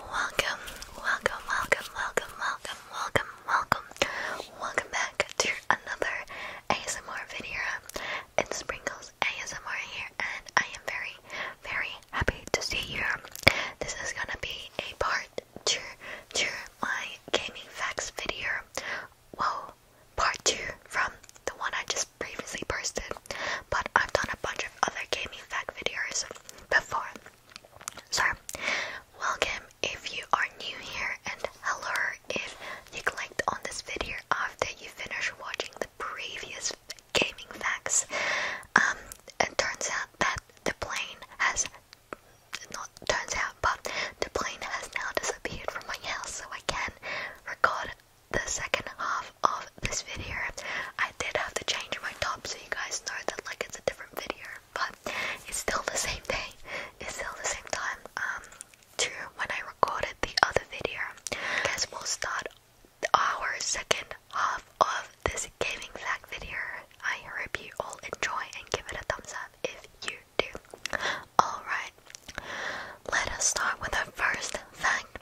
Welcome, welcome, welcome, welcome, welcome, welcome, welcome, welcome back to another ASMR video. It's Sprinkles ASMR here, and I am very, very happy to see you. This is gonna be a part two to my gaming facts video. Whoa, part two from the one I just previously posted, but I've done a bunch of other gaming fact videos before. So, welcome if you are new here, and hello if you clicked on this video after you finished watching the previous gaming facts. Um, it turns out that the plane has not turns out, but the plane has now disappeared from my house, so I can record the second half of this video. I did have to change my top so you guys know that like it's a different video, but it's still the same day, it's still the same time um to when I recorded the other video. I we'll start our second half of this gaming fact video. I hope you all enjoy and give it a thumbs up if you do. Alright, let us start with our first fact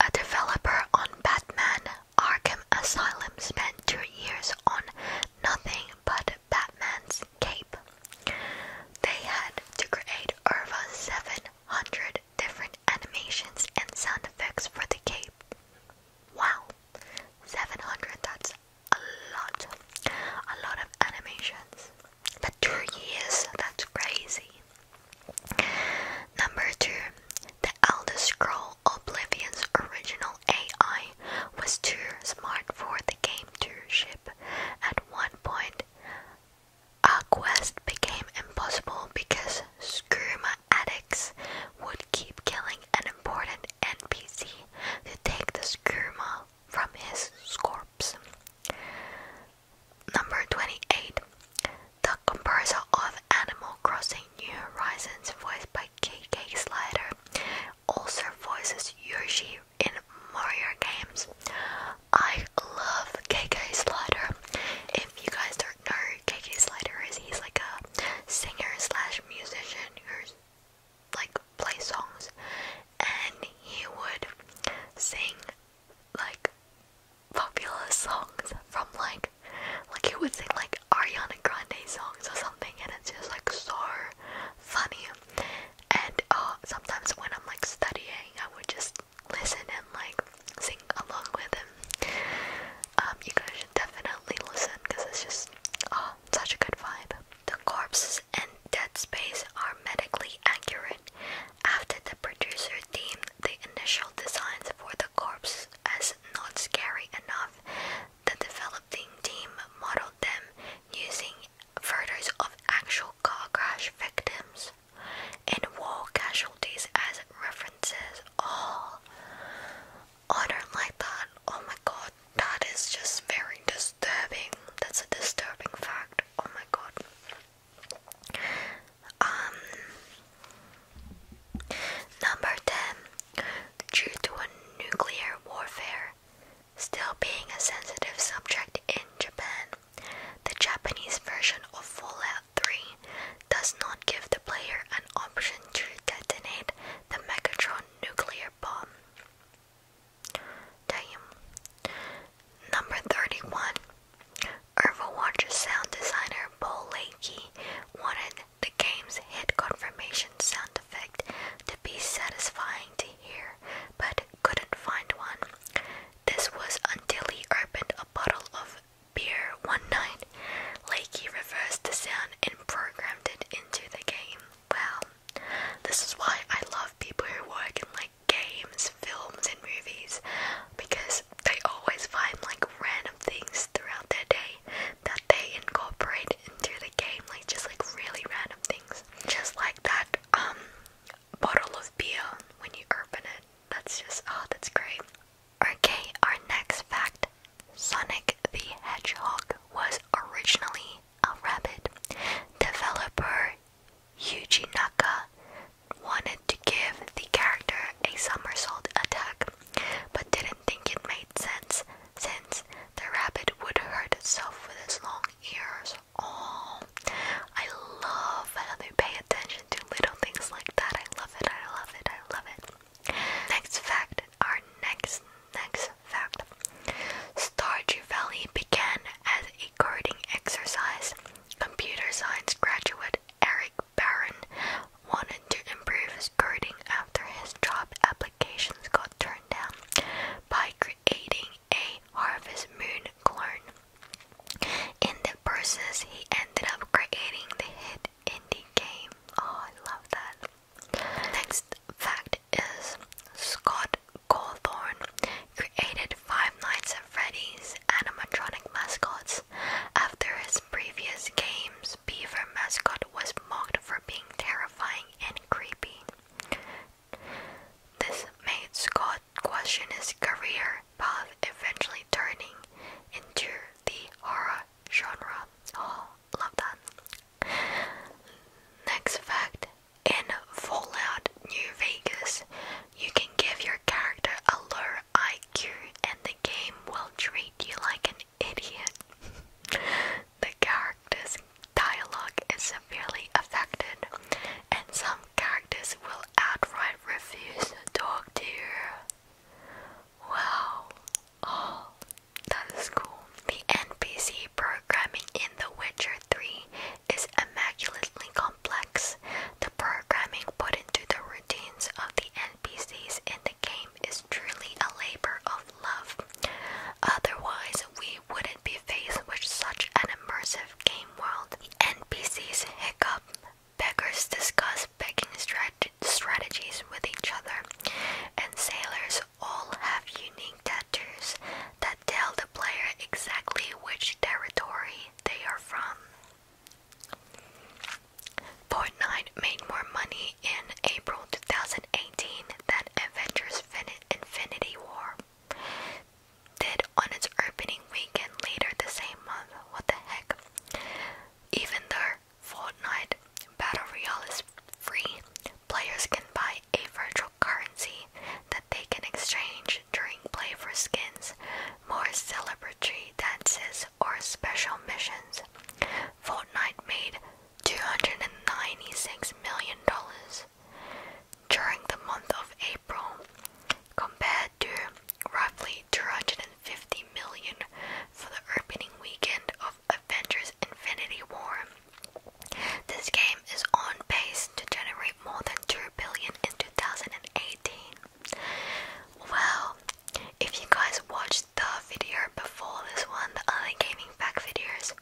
a developer on Batman Arkham Asylum spent two years on nothing but Batman's cape. They had to create over 700 different animations and sound effects for the cape. Wow, 700, that's a lot. A lot of animations. But two years, that's crazy. Number two, the Elder Scroll Oblivion's original AI was too smart for the game to ship. At one point, our quest became impossible because Skooma addicts would keep killing an important NPC to take the Skooma from his corpse. Number 28. The composer of Animal Crossing New Horizons, voiced by KK Slider, also voices Yoshi in Mario games. I love KK Slider. If you guys don't know KK Slider is, he's like a singer slash musician who's like play songs and he would sing like popular songs from like like you would sing like Ariana Grande songs or something and it's just like so funny and uh, sometimes when I'm like studying I would just listen and like sing along with him. Um, you guys should definitely listen because it's just oh such a good vibe. The corpses and dead space are medically accurate. After the producer deemed the initial designs for the corpse as not scary enough, the developing team modeled them using photos of actual car crash victims and war casualties as references. All honor like that. Oh my god, that is just very disturbing. That's a disturbing fact. Oh my god. Um, number 10. Due to nuclear warfare still being a sensitive subject in Japan, the Japanese version of Fallout 3 does not give the player an option to detonate the Megatron nuclear bomb. Damn. Number 31. Irville Watch's sound designer Paul Leakey wanted the game's hit confirmation sound effect to be satisfying to hear, but couldn't find one. This was until he opened a bottle of beer one night. Leakey reversed the sound and programmed it into the game. Well, this is why I love people who work in like games, films, and movies because they always find like random things throughout their day that they incorporate into the game, like just like really random things. Just like that um bottle of beer when you open it. That's just oh that's great. Okay, our next fact. Sonic the Hedgehog was originally a rabbit. Developer Yuji Naka wanted to give the character a somersault attack, but didn't think it made sense since the rabbit would hurt itself with its long ears. Oh, I love how they pay attention to little things like that. I love it, I love it, I love it. Next fact, our next, next fact. Stardew Valley began as a coding exercise. Computer science graduate Eric Barron wanted to improve his coding after his job applications got turned down by creating a Harvest Moon clone. In the process, he ended up creating the hit indie game. Oh, I love that. Next fact is Scott Cawthorn created Five Nights at Freddy's animatronic mascots. After his previous games, Beaver Mascot was mocked for being terrifying and creepy. This made Scott question his career path, eventually turning into the horror genre. Oh, love that. Next fact in Fallout New Vegas, you can give your character a IQ and the game will treat you like an idiot. the character's dialogue is severely affected, and some characters will outright refuse to talk to you. Wow. Oh, that is cool. The NPC programming in The Witcher 3 is immaculately complex. The programming put into the routines of the NPCs in the game is truly a labor of love. Otherwise, we wouldn't be faced with such an immersive game world. NPCs hiccup. Beggars discuss begging strategies with each other, and sailors all have unique tattoos that tell the player exactly which territory they are from. Fortnite made more money in April 2018 than Avengers Infinity War did on its opening weekend later the same month. What the heck? Even though Fortnite Battle Royale is free, players can buy a virtual currency that they can exchange during play for skins, more celebratory dances, or special missions. Fortnite made $296 million during the month of April, compared to roughly $250 million for the opening weekend of Avengers Infinity War. This game is on pace to generate more than $2 billion in 2018. Well, if you guys watched the video before this one, the other gaming fact videos,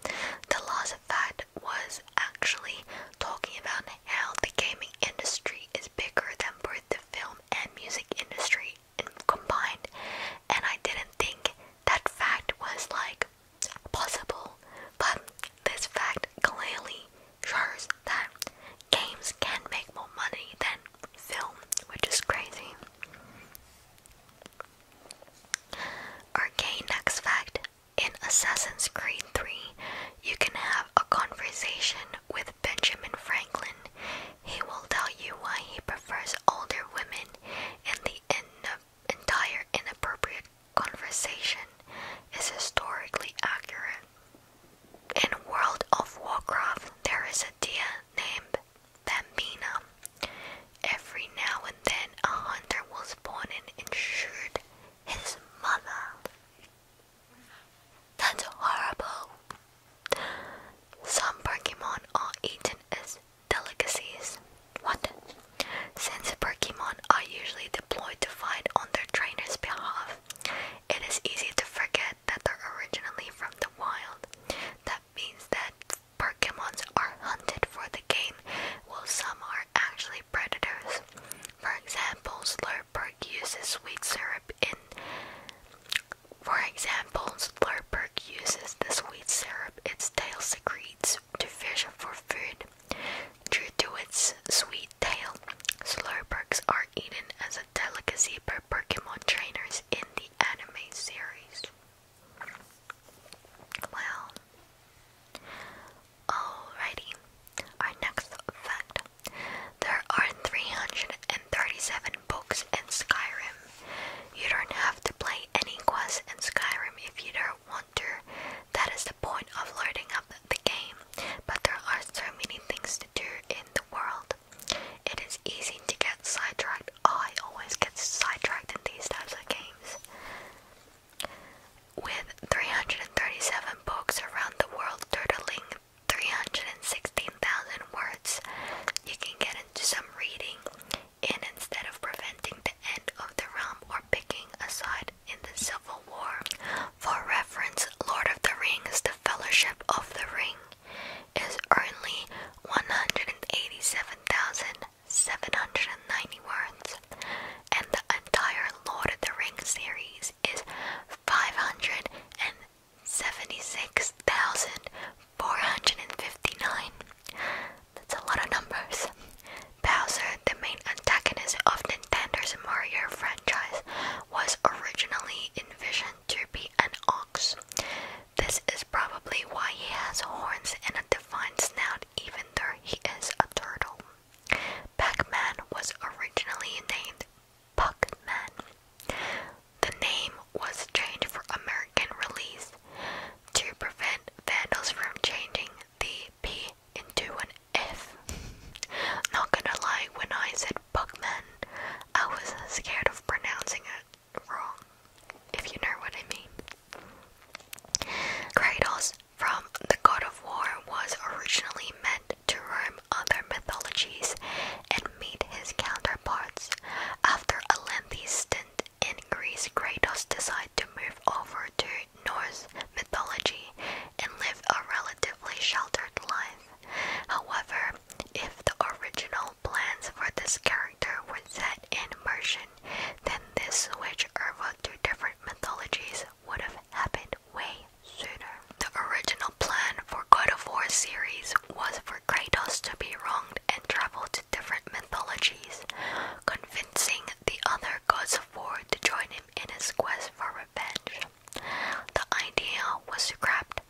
the last fact was actually talking about how the gaming industry is bigger than both the film and music industry combined, and I didn't think that fact was like possible, but this fact clearly shows that games can make more money than film, which is crazy. Okay, next fact. In Assassin's Creed 3, you can have a conversation with Benjamin Franklin. He will tell you why he prefers older women, and the entire inappropriate conversation is historically accurate. In World of Warcraft, there is a deer named Bambina. Every now and then, a hunter was born and intrude his mother. That's horrible. Some Pokemon are eaten as delicacies. What? Since Pokemon are usually deployed to fight on their trainer's behalf, it is easy to forget that they're originally from the wild. That means that Pokemons are hunted for the game, while some are actually predators. For example, Slurperk uses sweet syrup in. For example, Slurperk uses the sweet syrup its tail secretes to fish for food. Due to its sweet tail. Slurperks are eaten as a delicacy by Pokemon trainers in the anime series. Well, alrighty. Our next fact: there are 337 books in Skyrim. You don't have to play any quests in Skyrim if you don't want to. That is the point of loading up the game, but there are so many things to do in the world. It is easy to get sidetracked. Oh, I always get sidetracked in these types of games. With 337 books around the world totaling 316,000 words, you can get into some reading And instead of preventing the end of the realm or picking a side in the Civil War. For reference, Lord of the Rings, The Fellowship of the Ring, is only 187,790 words, and the entire Lord of the Rings series is 576,459. That's a lot of numbers. Bowser, the main antagonist of the Nintendo's Mario franchise was originally envisioned to be an ox. This is probably why he has horns and a defined snout, even though he is a turtle. Pac Man was originally named pac Man. The name was changed for American release to prevent vandals from changing the P into an F. Not gonna lie, when I said Buckman, I was scared of pronouncing it wrong, if you know what I mean. Kratos from the God of War was originally meant to roam other mythologies and meet his counterparts. After a lengthy stint in Greece, Kratos decided to move over to Norse mythology and live a relatively sheltered life. However, if the original plans for this character were set in motion, then this switch over to different mythologies would have happened way sooner. The original plan for God of War series was for Kratos to be wronged and travel to different mythologies, convincing the other gods of war to join him in his quest for revenge. The idea was scrapped,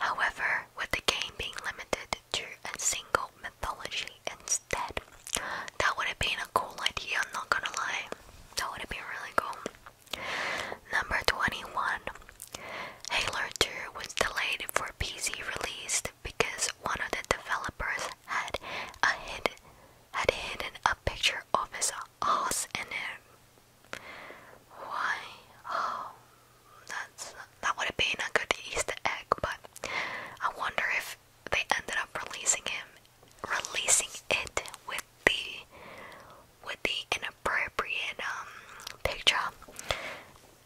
however, with the game being limited to a single mythology instead. That would have been a cool idea, I'm not gonna lie. That would have been really cool. Number 21 Halo 2 was delayed for PC release because one of the developers had a hid had hidden a picture of his R's and a Y. Oh, that's that would have been a good Easter egg, but I wonder if they ended up releasing him, releasing it with the with the inappropriate um, picture.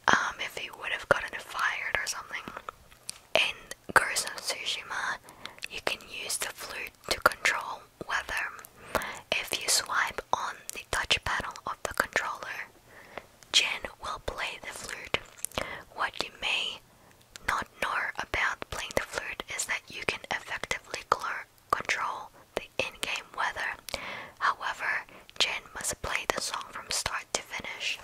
Um, if he would have gotten fired or something. In Ghost Tsushima, you can use the flute to control know whether if you swipe on the touch panel of the controller, Jin will play the flute. What you may not know about playing the flute is that you can effectively control the in-game weather. However, Jin must play the song from start to finish.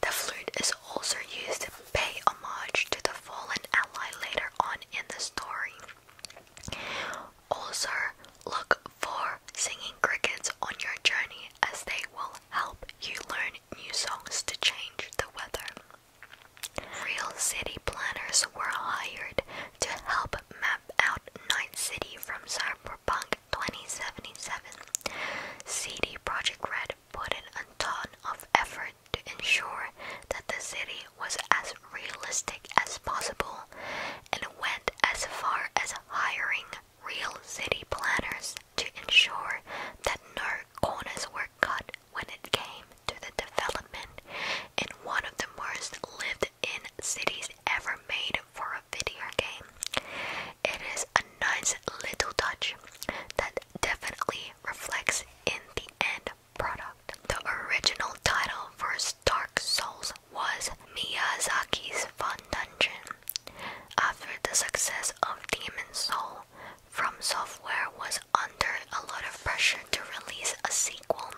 The flute is also used pay homage to the fallen ally later on in the story. Also, look for singing crickets on your journey as they will help you learn new songs to change the weather. Real city planners were hired to help map out Night City from Cyberpunk 2077. CD Projekt Red put in a ton of effort to ensure that the city was as realistic as possible and went as far as hiring real city planners to ensure that no corners were cut when it came to the development in one of the most lived in cities ever made for a video game. It is a nice little touch that definitely reflects in the end the original title for Dark Souls was Miyazaki's Fun Dungeon. After the success of Demon Soul, From Software was under a lot of pressure to release a sequel.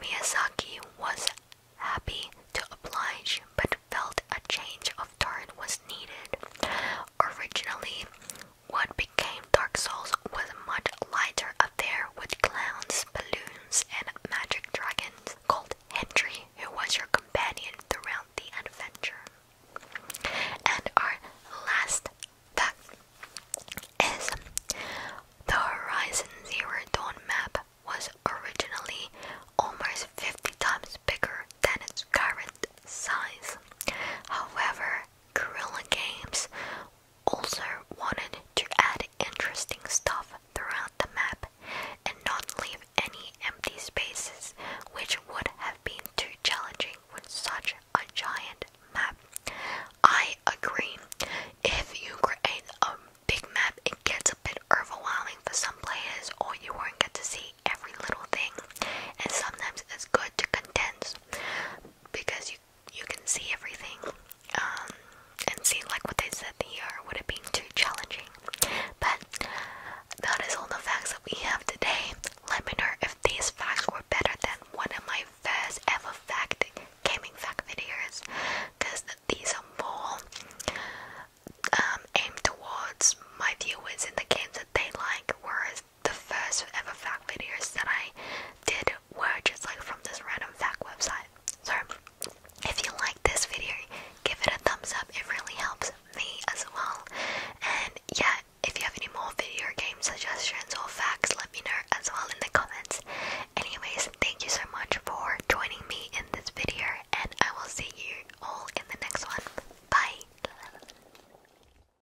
Miyazaki was happy to oblige but felt a change of tone was needed. Originally, what became Dark Souls was much lighter affair with clowns, balloons, and magic dragons called Henry, who was your companion throughout the adventure. And our last fact is the Horizon Zero Dawn map was originally almost 50 times bigger than its current size. However, Guerrilla Games also wanted to add interesting stuff throughout the map and not leave any empty spaces, which would have been too challenging with such a giant map. I agree. If you create a big map, it gets a bit overwhelming for some players, or you won't get to see every little thing, and sometimes it's good to condense because you you can see everything um, and see like what they said the here would have been too challenging but that is all the facts that we have today let me know if these facts were better than one of my first ever fact gaming fact videos because these are more um, aimed towards my viewers in the games that they like whereas the first ever fact videos that I did were just like from this random fact website. So if you like this video, give it a thumbs up. It really helps me as well. And yeah, if you have any more video game suggestions or facts, let me know as well in the comments. Anyways, thank you so much for joining me in this video, and I will see you all in the next one. Bye.